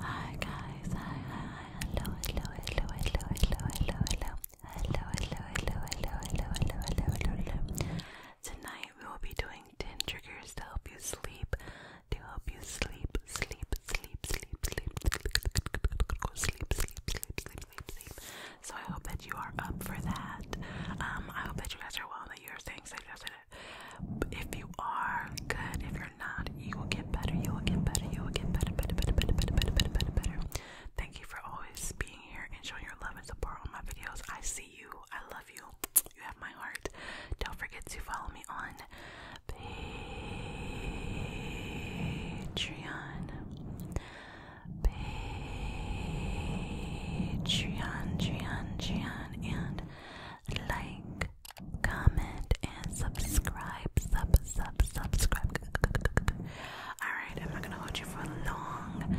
Hi guys, hi, hello, hello, hello, hello, hello, hello, hello, hello, hello, hello, hello, hello, hello, hello, Tonight we will be doing 10 triggers to help you sleep, to help you sleep, sleep, sleep, sleep, sleep, sleep, sleep, sleep, sleep, sleep, sleep. So I hope that you are up for that. Um, I hope that you guys are well, and that you are staying safe, that if you are good, if you're not, you will get better, you will get better, you will get better, better, better, better, better, better, better, better, Thank you for always being here and showing your love and support on my videos. I see you. I love you. You have my heart. Don't forget to follow me on Patreon. Patreon, Patreon, Patreon, and like, comment, and subscribe. Sub, sub, subscribe. Alright, I'm not gonna hold you for long.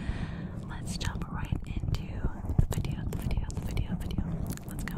Let's jump right into the video, the video, the video, video. Let's go.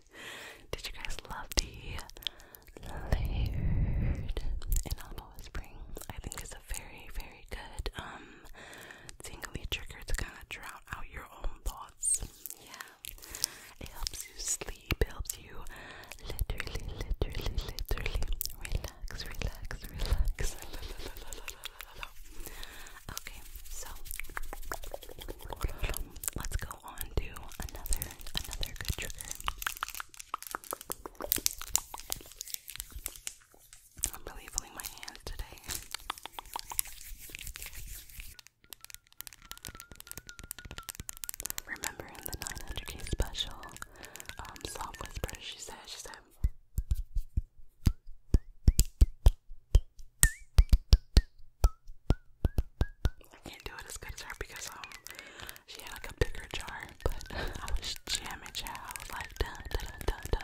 Did you guys love the layered inaudible whispering? I think it's a very, very good tingly trigger to kind of drown out your own thoughts. Yeah. It helps you sleep, helps you literally, literally, literally relax, relax, relax. Okay, so let's go on to another another good trigger. I'm really feeling my hand today. Remember in the 900k special, um, whisper, she said, she said, I can't do it as good as her because um she had like a bigger jar, but I was jamming child. I was like dun dun dun dun.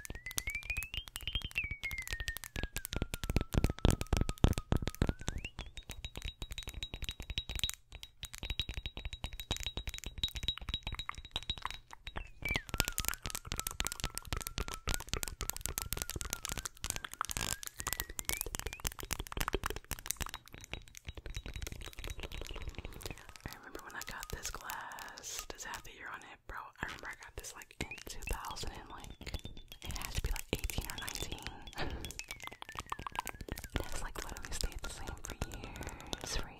I remember when I got this glass. Does it have the year on it? bro, I remember I got this like in 2000 and like, it had to be like 18 or 19. it has like literally stayed the same for years, for years.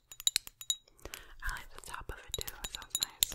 I like the top of it too, it sounds nice.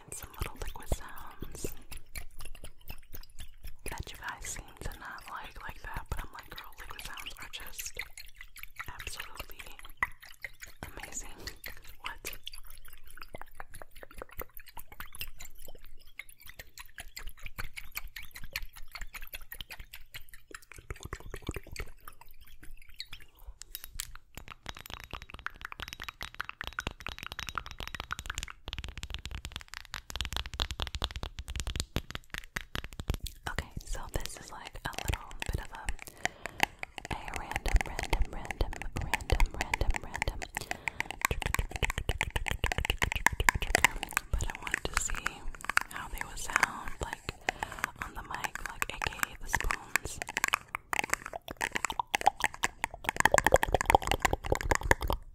And some little liquid sounds that you guys seem to not like like that, but I'm like, girl, liquid sounds are just absolutely Amazing. What? Okay, so this is like a little bit of a a random, random, random, random, random, random. But I want to see how they would sound like on the mic, like aka the spoons.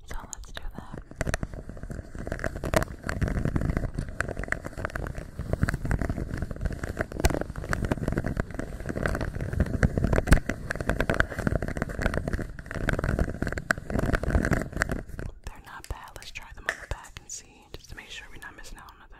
So let's do that. They're not bad. Let's try them on the back and see, just to make sure we're not missing out on nothing.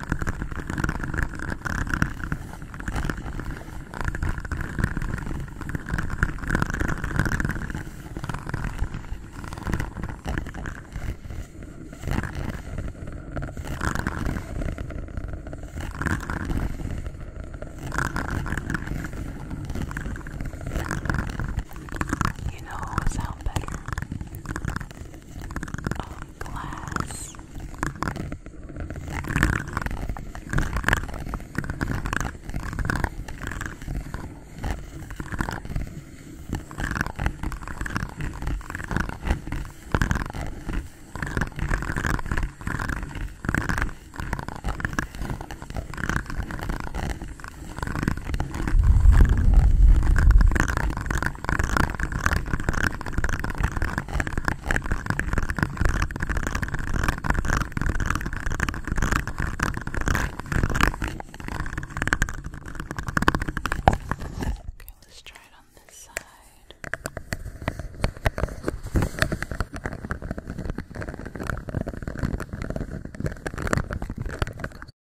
You know what would sound better? Um, glass. Okay, let's try it on this side.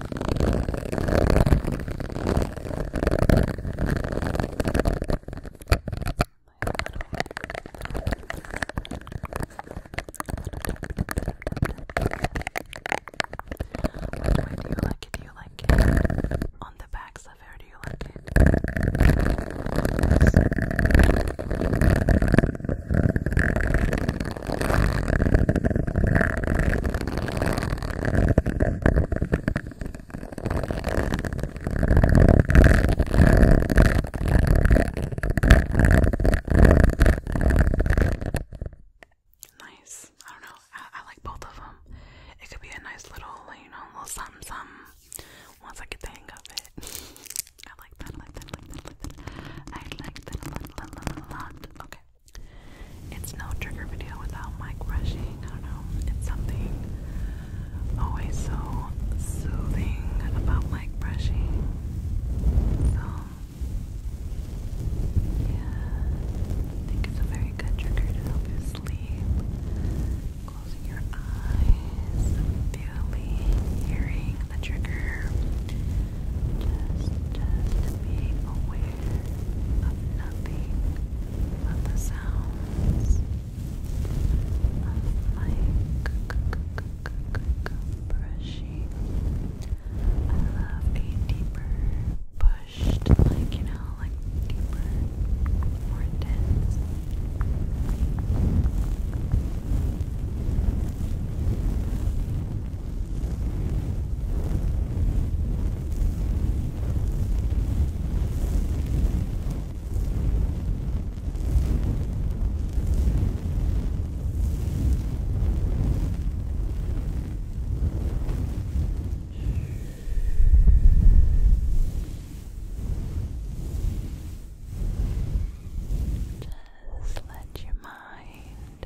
do you like it? Do you like it? On the back of hair, do you like it? Yes. Nice. I don't know. I, like both of them. It could be a nice little, you know, little something, something. Once I get the hang of it, I like that. I like that. I like that. a lot. Okay. It's no trigger video without mic brushing. I don't know. It's something always so soothing about mic brushing. So, yeah, I think it's a very good trigger to help you sleep. Closing your eyes, feeling, hearing the trigger, just, just being aware of nothing but the sounds of my brushing. I love a deeper pushed, like you know, like deeper, more intense. Just let your mind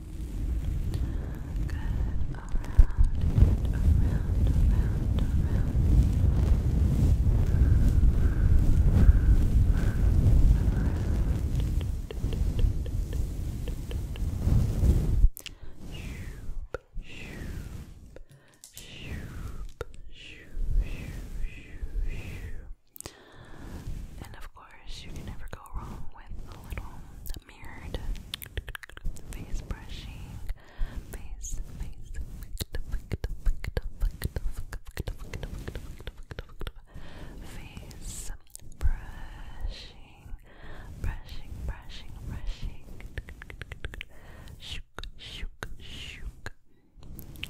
Good. And of course, you can never go wrong with a little mirrored face brushing face face face brushing brushing brushing brushing shook shook shook Brushing,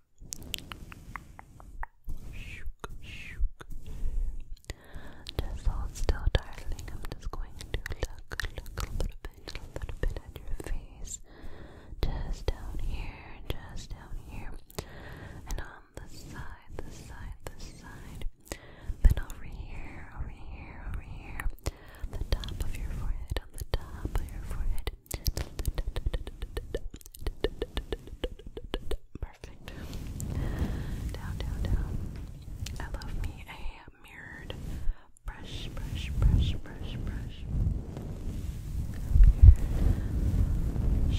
Just hold still, darling. I'm just going to look, a little bit, a little bit at your face. Just down here, just down here. And on the side, the side, the side. Then over here, over here, over here. The top of your forehead, on the top of your forehead. Perfect. Down, down, down. I love me a mirrored brush, brush, brush, brush, brush. Brush, brush, brush. Brush,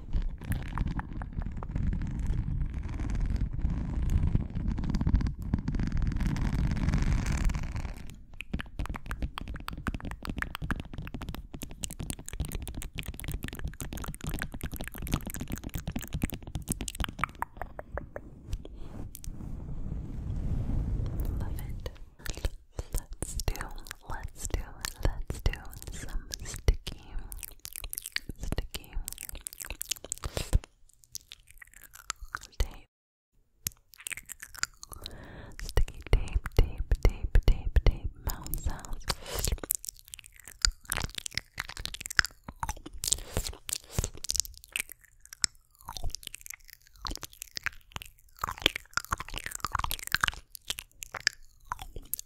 Love it. Let's do, let's do, let's do some sticky sticky tape. Sticky tape, tape, tape, tape, tape, mouth sounds.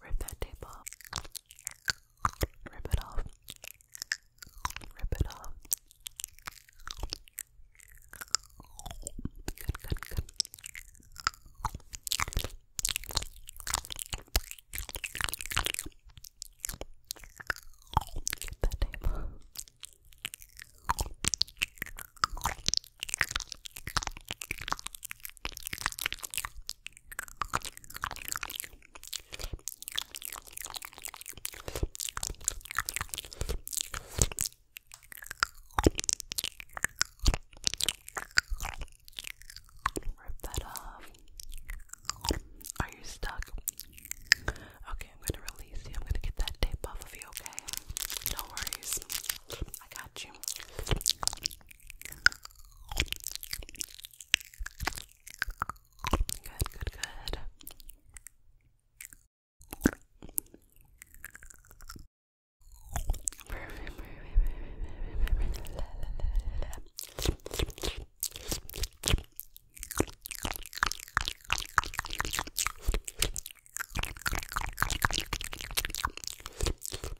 Rip that tape off. Rip it off. Rip it off. Good, good, good. Get that tape off. Rip that off. Are you stuck? Okay, I'm gonna release you. I'm gonna get that tape off of you, okay? No worries. I got you. Good, good, good. Perfect, perfect,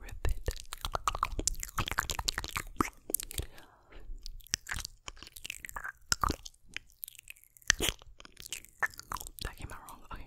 Rip it. That came out wrong. Okay.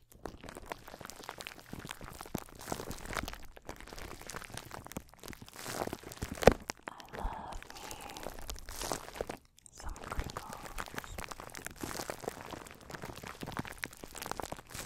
I love me some crinkles. I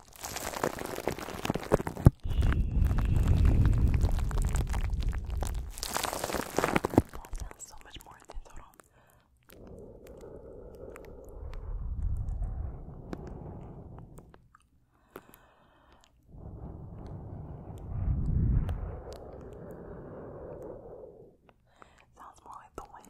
That sounds so much more intense. Hold on. Sounds more like the wind.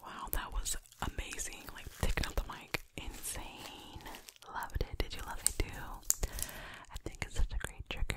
Wow, that was amazing. Like picking up the mic, insane. Loved it. Did you love it too? I think it's such a great trigger.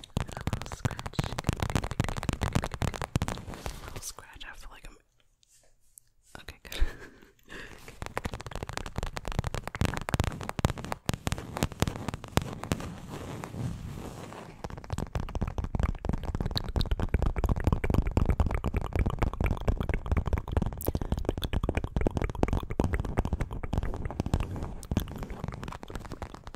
a little scratch. A little scratch. I feel like I'm. Okay, good.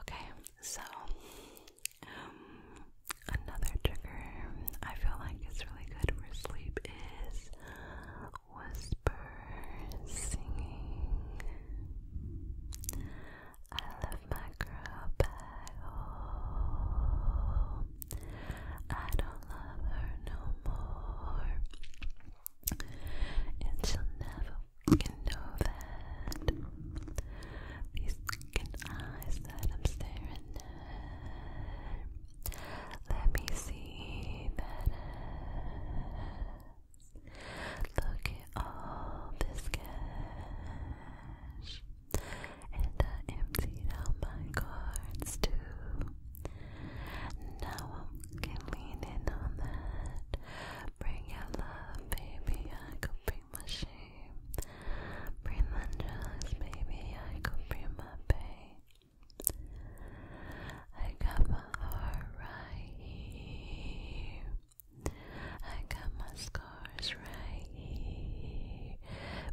Okay, so um, another trigger I feel like it's really good for sleep is whisper singing. I love my girl Bagel. I don't love her no more, and she never can know that these second eyes that I'm staring at. Let me see that Look at all this cash. And I emptied out my cards too. Now I can lean in on that. Bring your love, baby, I could bring my shame. Bring my joys, baby, I could bring my pain. I got my heart right here. I got my scars right here.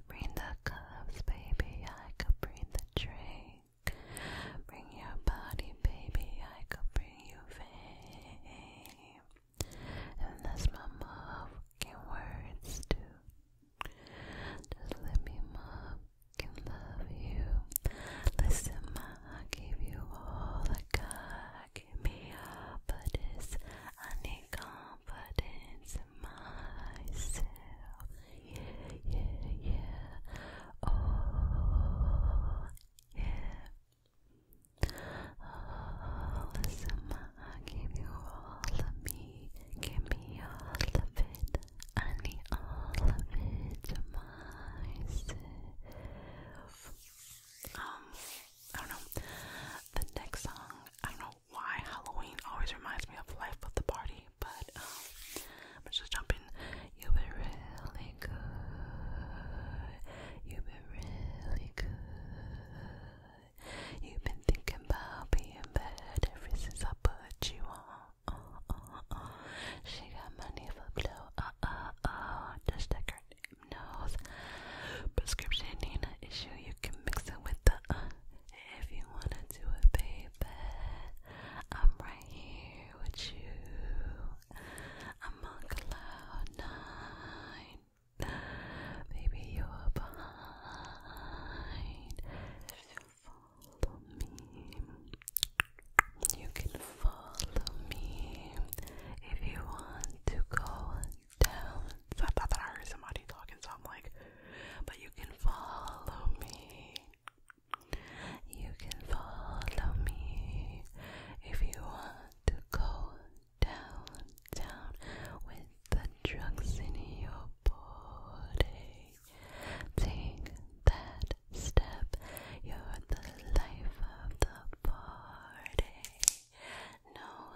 Bring the cups, baby, I could bring the drink. Bring your body, baby, I could bring you vain and that's my motherfucking words too just let me motherfucking love you listen I give you all I got give me up for this I need confidence in myself yeah, yeah, yeah oh yeah I all of me, give me all of it, I need all of it to myself. Um, I don't know. The next song, I don't know why Halloween always reminds me of Life of the Party, but um, I'm just jumping. You've been really good. You've been really good. You've been thinking about being bad ever since I put you on. Uh, uh, uh. She got money for blow. Uh uh uh. Just like her name knows. Prescription ain't an issue. You can mix it with the uh. If you wanna do it, baby, I'm right here with you. I'm on Maybe you're behind. If you follow me, you can follow me if you want to go down. I thought that I heard somebody talking, so I'm like, but you can follow me. You can follow me if you want to go downtown with the drugs in your body. Take that step, you're the life of the party. Know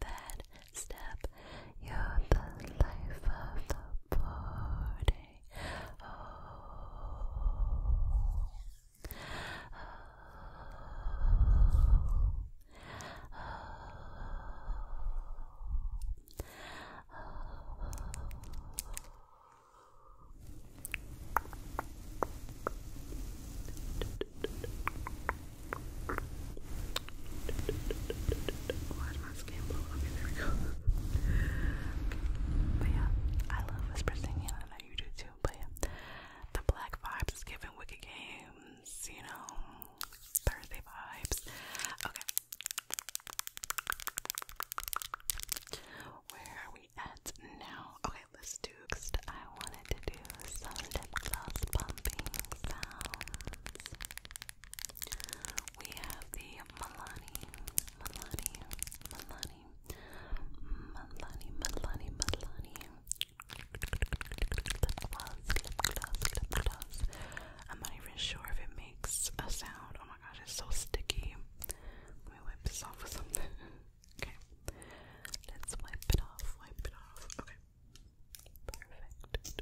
that step, you're the life of the party. Oh oh. is my skin Okay, there we go. But yeah, I love whisper I know you do too but yeah. the black vibes giving wicked games, you know, Thursday vibes. Okay. Where are we at now? Okay, let's do I wanted to do some lip gloss sounds. We have the Milani, Milani, Milani, Melanie, Melanie, Melanie. I'm not even sure if it makes a sound. Oh my gosh, it's so sticky. Let me wipe this off with something. okay. Let's wipe it off, wipe it off. Okay. Perfect. It's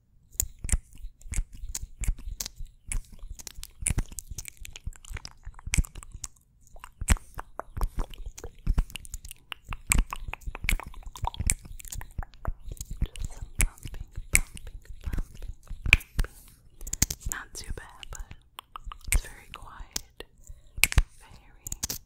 pumping, pumping, Not too bad, but it's very quiet. Very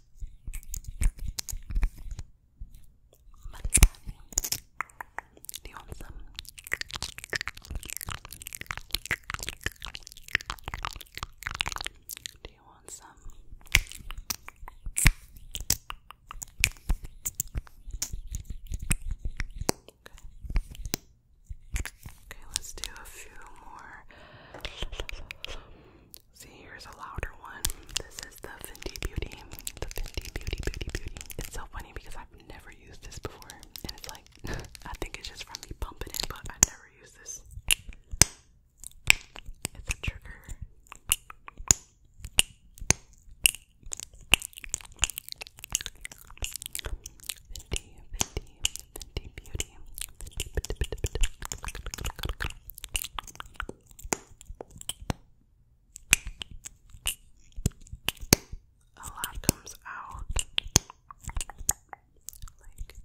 Do you want some? Do you want some? Okay. let's do a few more. See, here's a louder one. This is the Fenty Beauty. The Fenty Beauty Beauty Beauty. It's so funny because I've never used this before. And it's like, I think it's just from me pumping it, but I never used this. It's a trigger. Fenty, Fenty, Fenty Beauty, happy. A lot comes out. Like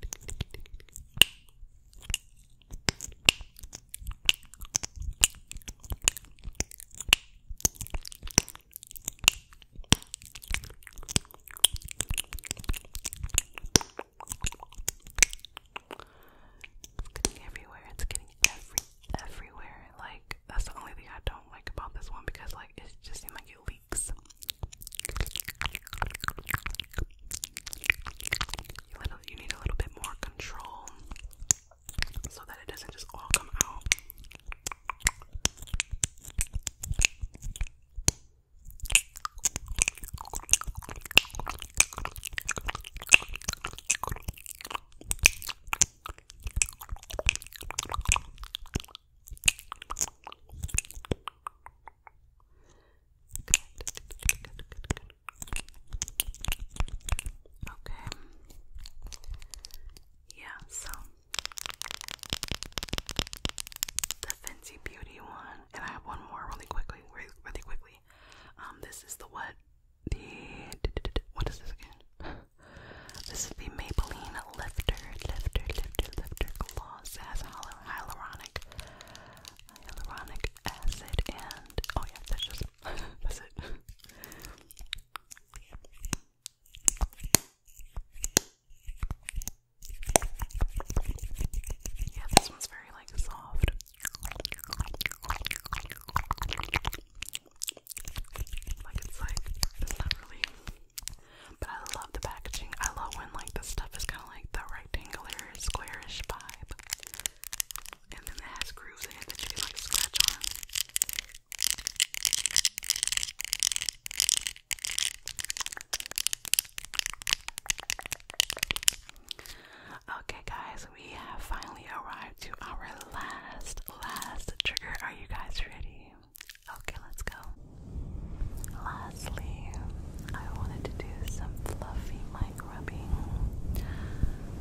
getting everywhere. It's getting every everywhere. Like that's the only thing I don't like about this one because like it just seems like it leaks. you need a little bit more control so that it doesn't just all come out. Okay. Yeah, so the fancy beauty one and I have one more really quickly, really, really quickly. Um, this is the what? The what is this again? This is the Maybelline Lifter, Lifter, Lifter, Lifter Gloss. It has hyaluronic, hyaluronic acid, and oh yeah, that's just that's it. Yeah, this one's very like soft. Like it's like it's but I love the packaging. I love when like this stuff is kinda like the rectangular squarish vibe. And then it has grooves in that you like scratch on. Okay, guys, we have finally arrived to our last, last trigger. Are you guys ready? Okay, let's go. Lastly, I wanted to do some fluffy mic rubbing.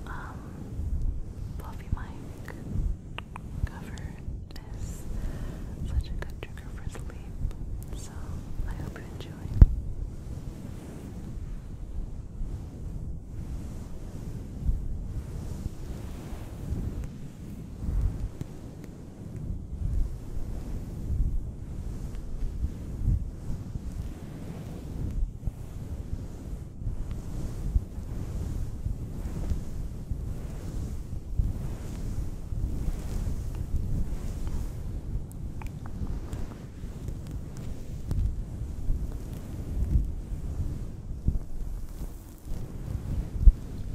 Um, fluffy mic cover is such a good trigger for sleep, so I hope hope you enjoy. Thank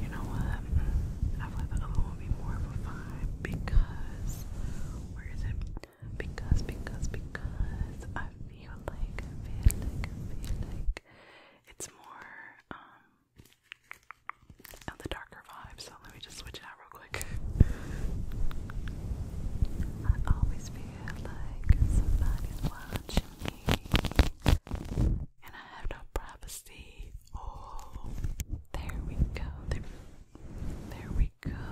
you know what? I feel like the other one be more of a vibe because where is it? Because, because, because I feel like, feel like, feel like it's more um, of the darker vibe, so let me just switch it out real quick. I always feel like somebody's watching me, and I have no privacy. Oh, there we go. there we go.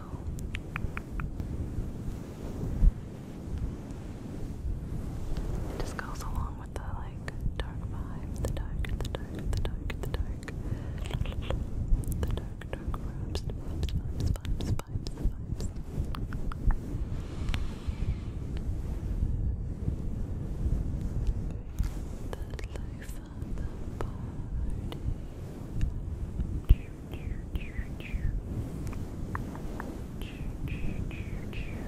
It just goes along with the like dark vibe, the dark, the dark, the dark, the dark dark, the dark, dark vibes, vibes, vibes, vibes, vibes, vibes. The life of the party. Cheer, cheer, cheer, cheer. Cheer, cheer, cheer, cheer.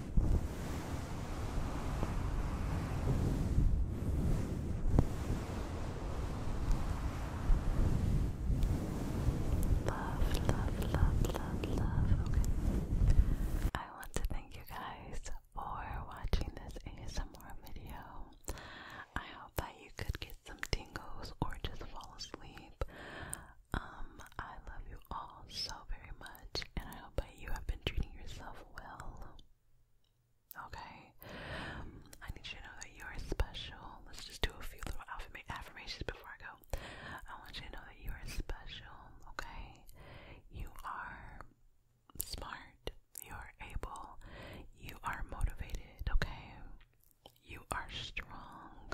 Love, love, love, love, love. Okay. I want to thank you guys for watching this ASMR video. I hope that you could get some tingles or just fall asleep. Um, I love you all so very much, and I hope that you have been treating yourself well. Okay? I need you to know that you are special. Let's just do a few little affirmations before I go. I want you to know that you are special, okay? You are smart. You are able. You are motivated, okay? You are strong.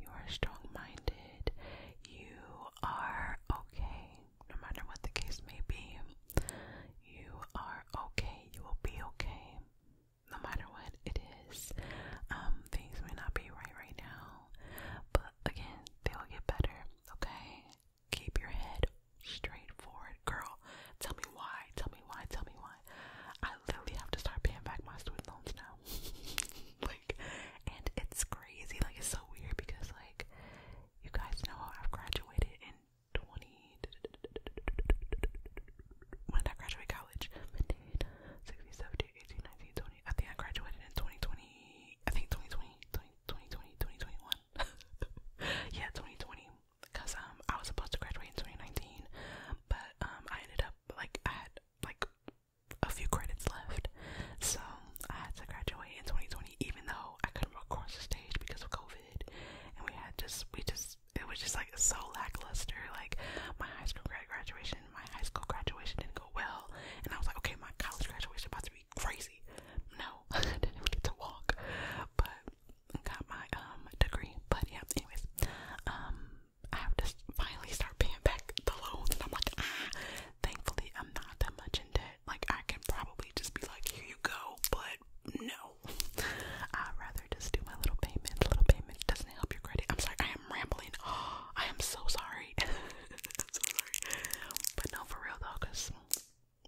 You are strong minded. You are okay no matter what the case may be, you are okay. You will be okay, no matter what it is. Um, things may not be right right now, but again, they will get better. Okay, keep your head straight forward, girl. Tell me why. Tell me why. Tell me why. I literally have to start paying back my student loans now. like, and it's crazy. Like, it's so weird because like you guys know I've graduated in 20. When did I graduate college? 15, 16, 17, 18, 19, 20. I think I graduated in 2020. I think 2020, 2020, 2021. yeah, 2020. Because um, I was supposed to graduate in 2019, but um, I ended up like I had like a few credits left, so I had to graduate in 2020, even though so I couldn't record the stage because of COVID, and we had just we just it was just like so lackluster. Like my high school graduation, my high school graduation didn't go well, and I was like, okay, my college graduation about to be crazy. No, I didn't even get to walk, but got my um degree. But yeah, anyways, um, I have to finally start paying back the loans, and I'm like, ah, thankfully I'm not that much in debt. Like, I can probably just be like, here you go, but no. I'd rather just do my little payment. Little payment doesn't help your credit. I'm sorry, I am rambling. I am so sorry. so sorry. But no, for real though, because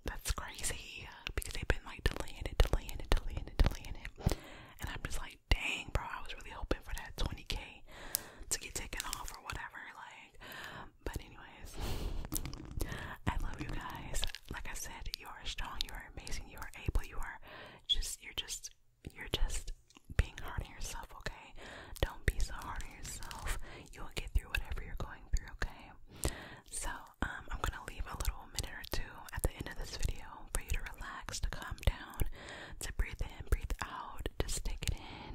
that's crazy. Because they've been like delaying it, delaying it, delaying it, delaying it. And I'm just like, dang, bro, I was really hoping for that 20k to get taken off or whatever. Like, but anyways, I love you guys. Like I said, you are strong, you are amazing, you are able, you are just you're just you're just being hard on yourself, okay? Don't be so hard on yourself. You'll get through whatever you're going through, okay? So, um, I'm gonna leave a little minute or two at the end of this video for you to relax, to calm down, to breathe in, breathe out, just take it in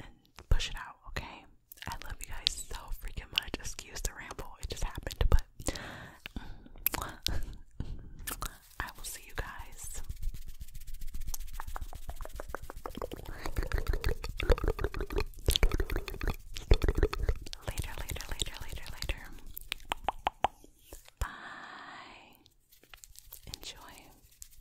and push it out, okay? I love you guys so freaking much. Excuse the ramble, it just happened, but I will see you guys. Later, later, later, later, later. Bye. Enjoy.